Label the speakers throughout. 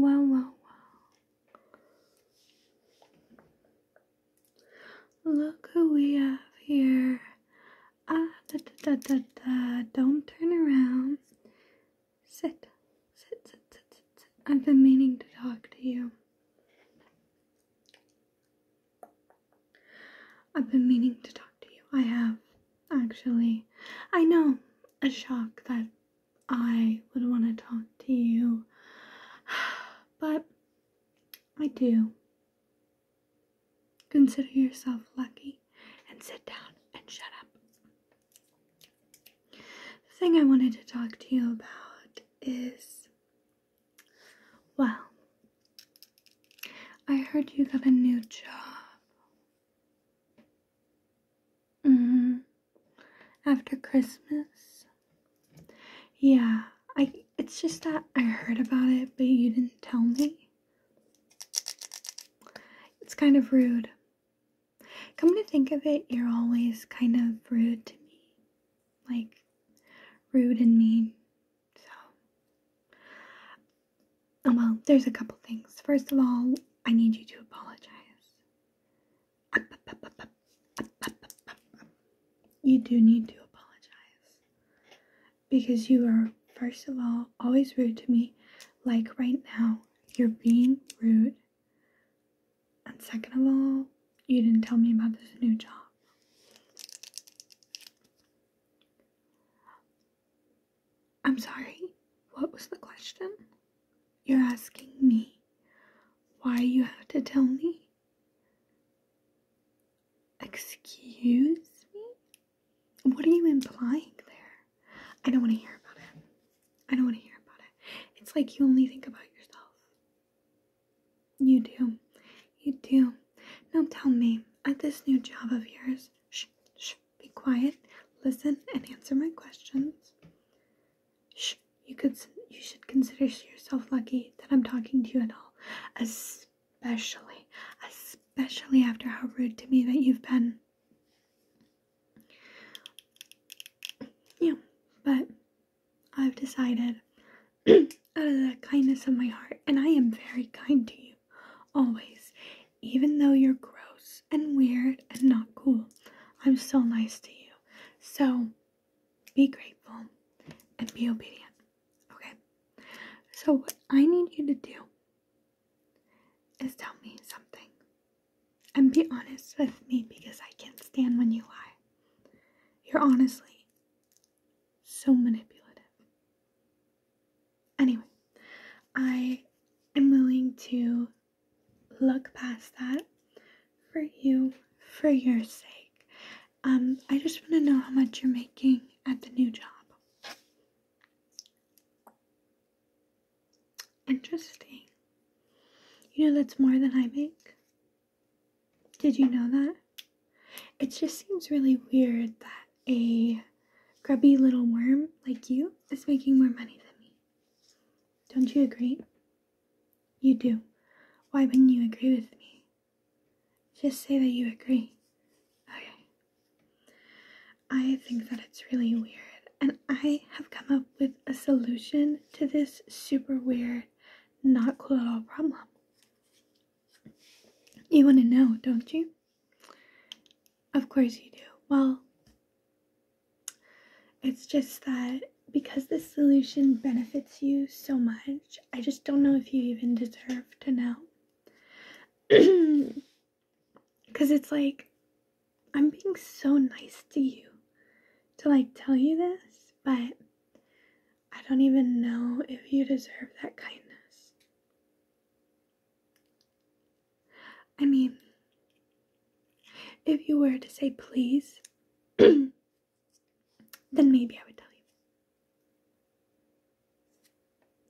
Speaker 1: Wow, wow, wow. Look who we have here. Ah, Don't turn around. Sit, sit, sit, sit, sit. I've been meaning to talk to you. I've been meaning to talk to you. I have, actually. I know a shock that I would want to talk to you, but I do. Consider yourself lucky and sit down and shut up. The thing I wanted to talk to you about is well, I heard you got a new job. hmm After Christmas? Yeah, I it's just that I heard about it, but you didn't tell me. It's kind of rude. Come to think of it, you're always kind of rude to me. Like, rude and mean. So, well, there's a couple things. First of all, I need you to apologize. You do need to apologize because you are, first of all, always rude to me. Like right now, you're being rude. And second of all, you didn't tell me about this new job. I'm sorry, what was the question? You're asking me why you have to tell me? Excuse me? What are you implying there? I don't want to hear about it. I don't want to hear about it. It's like you only think about yourself. You do. You do. Now tell me, at this new job of yours, shh, shh, be quiet, listen, and answer my questions. Shh, you could, you should consider yourself lucky that I'm talking to you at all, especially, especially after how rude to me that you've been. Yeah, but I've decided out of the kindness of my heart, and I am very kind to you, always, even though you're gross and weird and not cool. I'm still nice to you. So be grateful and be obedient. Okay? So, what I need you to do is tell me something and be honest with me because I can't stand when you lie. You're honestly so manipulative. Anyway, I am willing to look past that for you, for your sake. Um, I just want to know how much you're making at the new job. Interesting. You know, that's more than I make. Did you know that? It just seems really weird that a grubby little worm like you is making more money than me. Don't you agree? You do. Why wouldn't you agree with me? Just say that you agree. Okay. I think that it's really weird, and I have come up with a solution to this super weird not cool at all problem. You want to know, don't you? Of course you do. Well, it's just that because this solution benefits you so much, I just don't know if you even deserve to know. Because it's like, I'm being so nice to you to like tell you this, but I don't even know if you deserve that kindness. I mean, if you were to say please, then maybe I would tell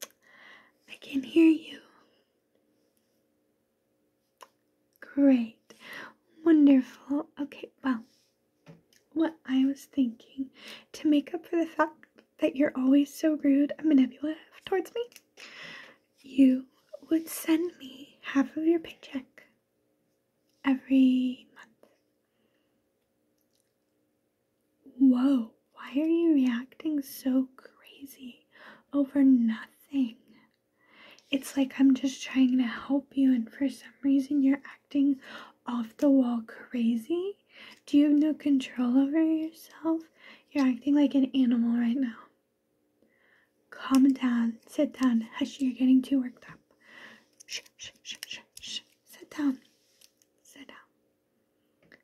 Speaker 1: you. I can hear you. Great. Wonderful. Okay, well, what I was thinking to make up for the fact that you're always so rude and manipulative towards me, you would send me half of your paycheck every month. Whoa, why are you reacting so crazy over nothing? It's like I'm just trying to help you, and for some reason, you're acting off the wall crazy. Do you have no control over yourself? You're acting like an animal right now. Calm down, sit down. Hush, you're getting too worked up. Shh, shh, shh, shh, Sit down, sit down.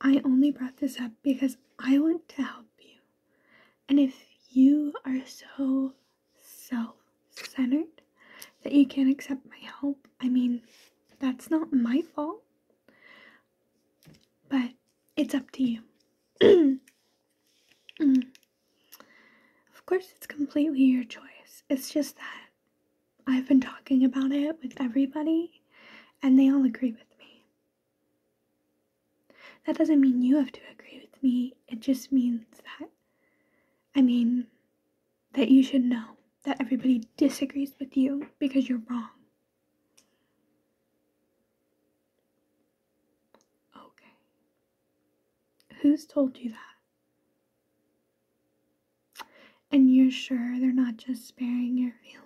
Speaker 1: I only brought this up because I want to help you. And if you are so self centered that you can't accept my help, I mean, that's not my fault. But it's up to you. Mm. Of course, it's completely your choice. It's just that I've been talking about it with everybody, and they all agree with me. That doesn't mean you have to agree with me, it just means that, I mean, that you should know that everybody disagrees with you because you're wrong. Okay. Who's told you that? And you're sure they're not just sparing your feelings?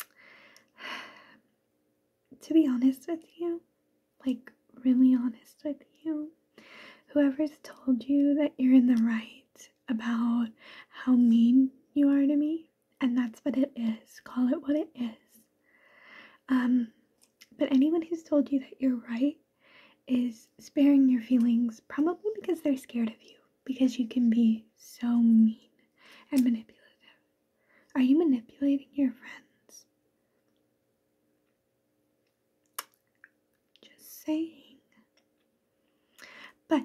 Speaker 1: to be honest with you, like really honest with you, whoever's told you that you're in the right about how mean you are to me, and that's what it is, call it what it is. Um, but anyone who's told you that you're right is sparing your feelings, probably because they're scared of you because you can be so mean and manipulative. Are you manipulating your friends? Just saying. But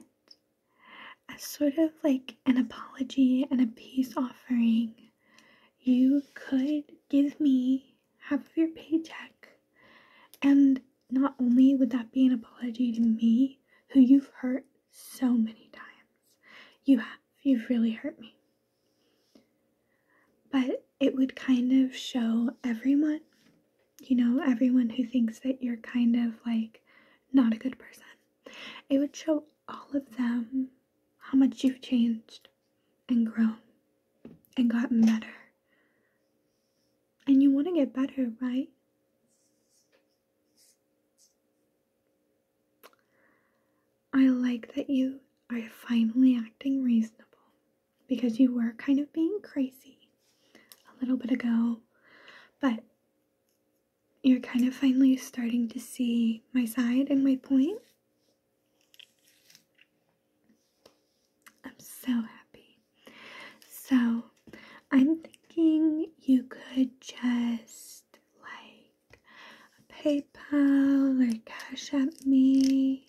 Speaker 1: as sort of like an apology and a peace offering, you could give me half of your paycheck and not only would that be an apology to me, who you've hurt so many times, you have, you've really hurt me, but it would kind of show everyone, you know, everyone who thinks that you're kind of like not a good person, it would show all of them how much you've changed and grown and gotten better and you want to get better, right? I like that you are finally acting reasonable because you were kind of being crazy a little bit ago, but you're kind of finally starting to see my side and my point. I'm so happy. So, I'm thinking you could just like PayPal or Cash App me.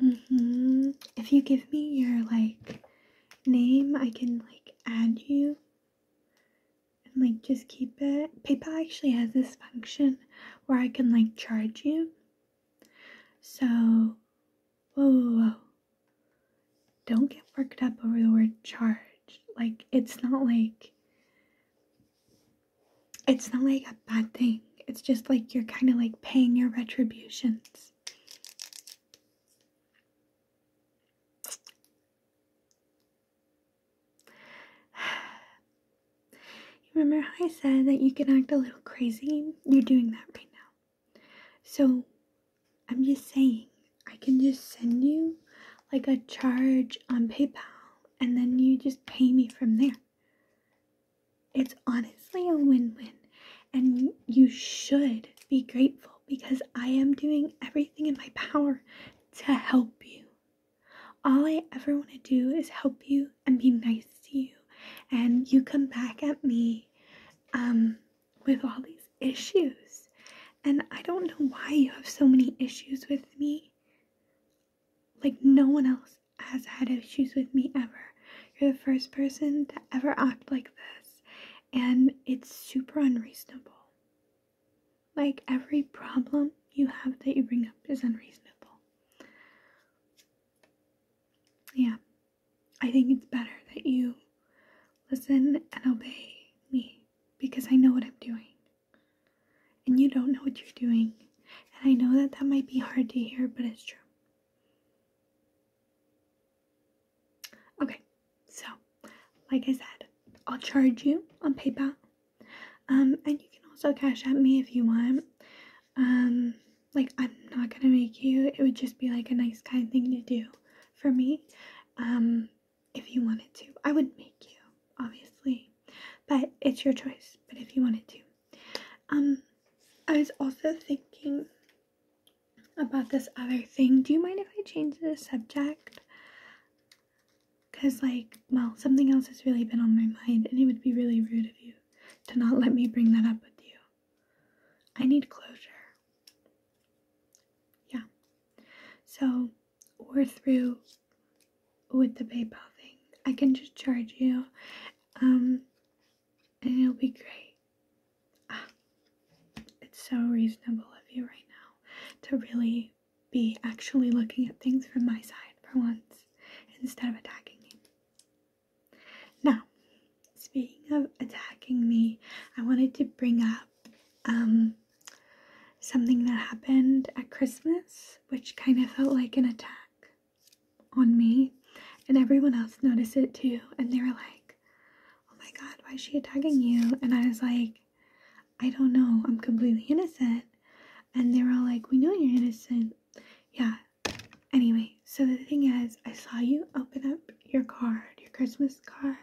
Speaker 1: hmm If you give me your like name, I can like add you and like just keep it. PayPal actually has this function where I can like charge you so, whoa, Don't get worked up over the word charge. Like, it's not like. It's not like a bad thing. It's just like you're kind of like paying your retributions remember how I said that you can act a little crazy? You're doing that right now. So I'm just saying, I can just send you like a charge on PayPal and then you just pay me from there. It's honestly a win win, and you should be grateful because I am doing everything in my power to help you. All I ever want to do is help you and be nice to you and you come back at me um with all these issues and I don't know why you have so many issues with me. Like no one else has had issues with me ever. You're the first person to ever act like this and it's super unreasonable. Like every problem you have that you bring up is unreasonable. Yeah, I think it's better that you listen and obey me because I know what I'm doing. And you don't know what you're doing. And I know that that might be hard to hear, but it's true. Okay, so like I said, I'll charge you on PayPal um, and you can also cash out me if you want. Um, like I'm not gonna make you. It would just be like a nice kind thing to do for me. Um, if you wanted to, I would not make you, obviously, but it's your choice. But if you wanted to, um, I was also thinking about this other thing. Do you mind if I change the subject? Because, like, well, something else has really been on my mind, and it would be really rude of you to not let me bring that up with you. I need closure. Yeah. So, we're through with the PayPal thing. I can just charge you, um, and it'll be great. Ah, it's so reasonable of you right now to really be actually looking at things from my side for once instead of attacking me. Now, speaking of attacking me, I wanted to bring up um, something that happened at Christmas, which kind of felt like an attack on me, and everyone else noticed it too, and they were like, oh my god, why is she attacking you? And I was like, I don't know, I'm completely innocent. And they are all like, We know you're innocent. Yeah. Anyway, so the thing is, I saw you open up your card, your Christmas card.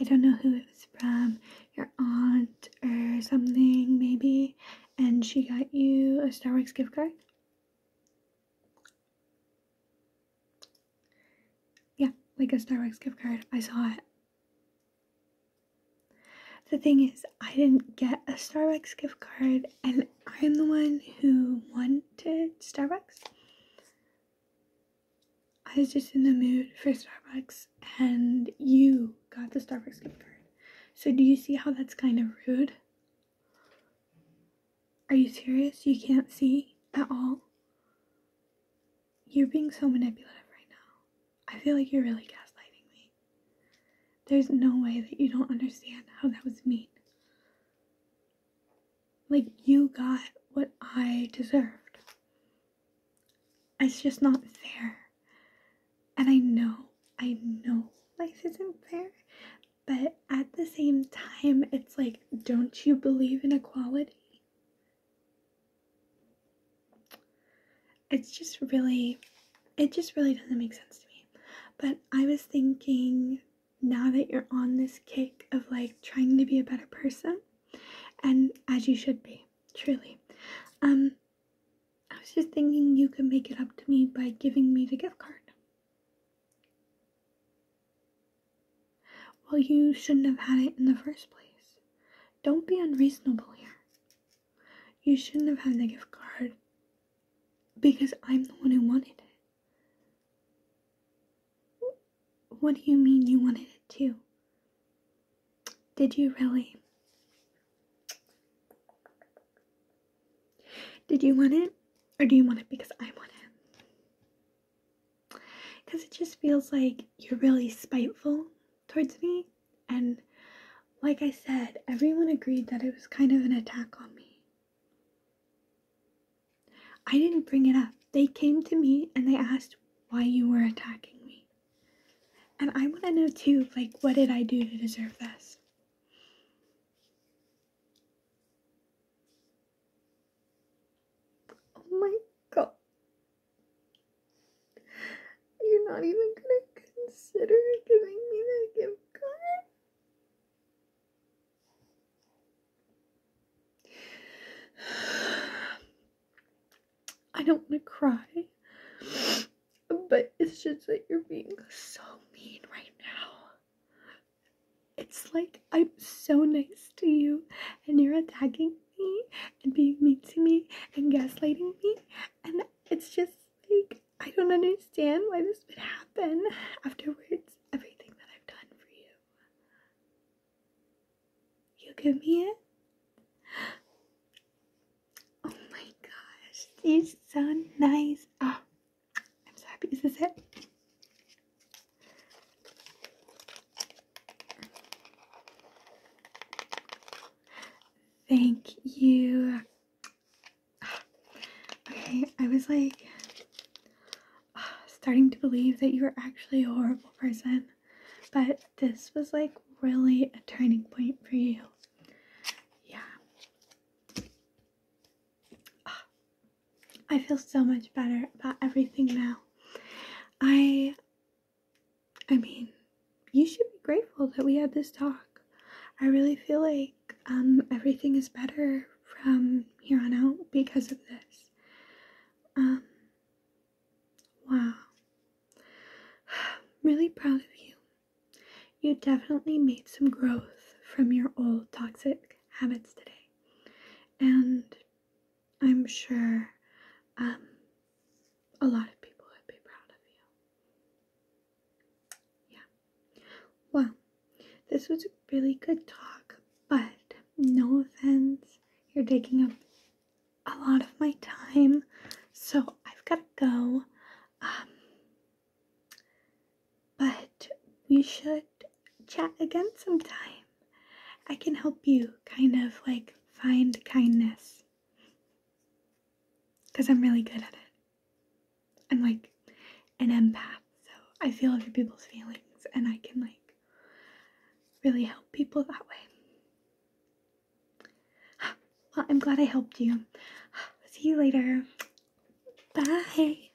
Speaker 1: I don't know who it was from, your aunt or something, maybe. And she got you a Starbucks gift card. Yeah, like a Starbucks gift card. I saw it. The thing is, I didn't get a Starbucks gift card, and I'm the one who wanted Starbucks. I was just in the mood for Starbucks, and you got the Starbucks gift card. So, do you see how that's kind of rude? Are you serious? You can't see at all? You're being so manipulative right now. I feel like you're really gaslighting me. There's no way that you don't understand how that was mean. Like, you got what I deserved. It's just not fair. And I know, I know life isn't fair, but at the same time, it's like, don't you believe in equality? it's just really it just really doesn't make sense to me but i was thinking now that you're on this kick of like trying to be a better person and as you should be truly um i was just thinking you could make it up to me by giving me the gift card well you shouldn't have had it in the first place don't be unreasonable here. You shouldn't have had the gift card because I'm the one who wanted it. What do you mean you wanted it too? Did you really? Did you want it? Or do you want it because I want it? because it just feels like you're really spiteful towards me. And like I said, everyone agreed that it was kind of an attack on me. I didn't bring it up. They came to me and they asked why you were attacking me. And I want to know too, like, what did I do to deserve this? Oh my god. You're not even gonna consider giving me that gift card? I don't want to cry, but it's just that you're being so mean right now. It's like I'm so nice to you and you're attacking and being mean to me and gaslighting me and it's just like I don't understand why this would happen afterwards everything that I've done for you. You give me it? Oh my gosh, you are so nice. Oh I'm so happy. Is this it? Thank you. Okay, I was like starting to believe that you were actually a horrible person, but this was like really a turning point for you. Yeah. I feel so much better about everything now. I I mean, you should be grateful that we had this talk. I really feel like um everything is better from here on out because of this. Um wow. really proud of you. You definitely made some growth from your old toxic habits today. And I'm sure um, a lot of people would be proud of you. Yeah. Well, this was a really good talk, but no offense, you're taking up a lot of my time, so I've got to go. Um, but we should chat again sometime. I can help you kind of like find kindness because I'm really good at it. I'm like an empath, so I feel other people's feelings and I can like really help people that way. Well, I'm glad I helped you. See you later. Bye.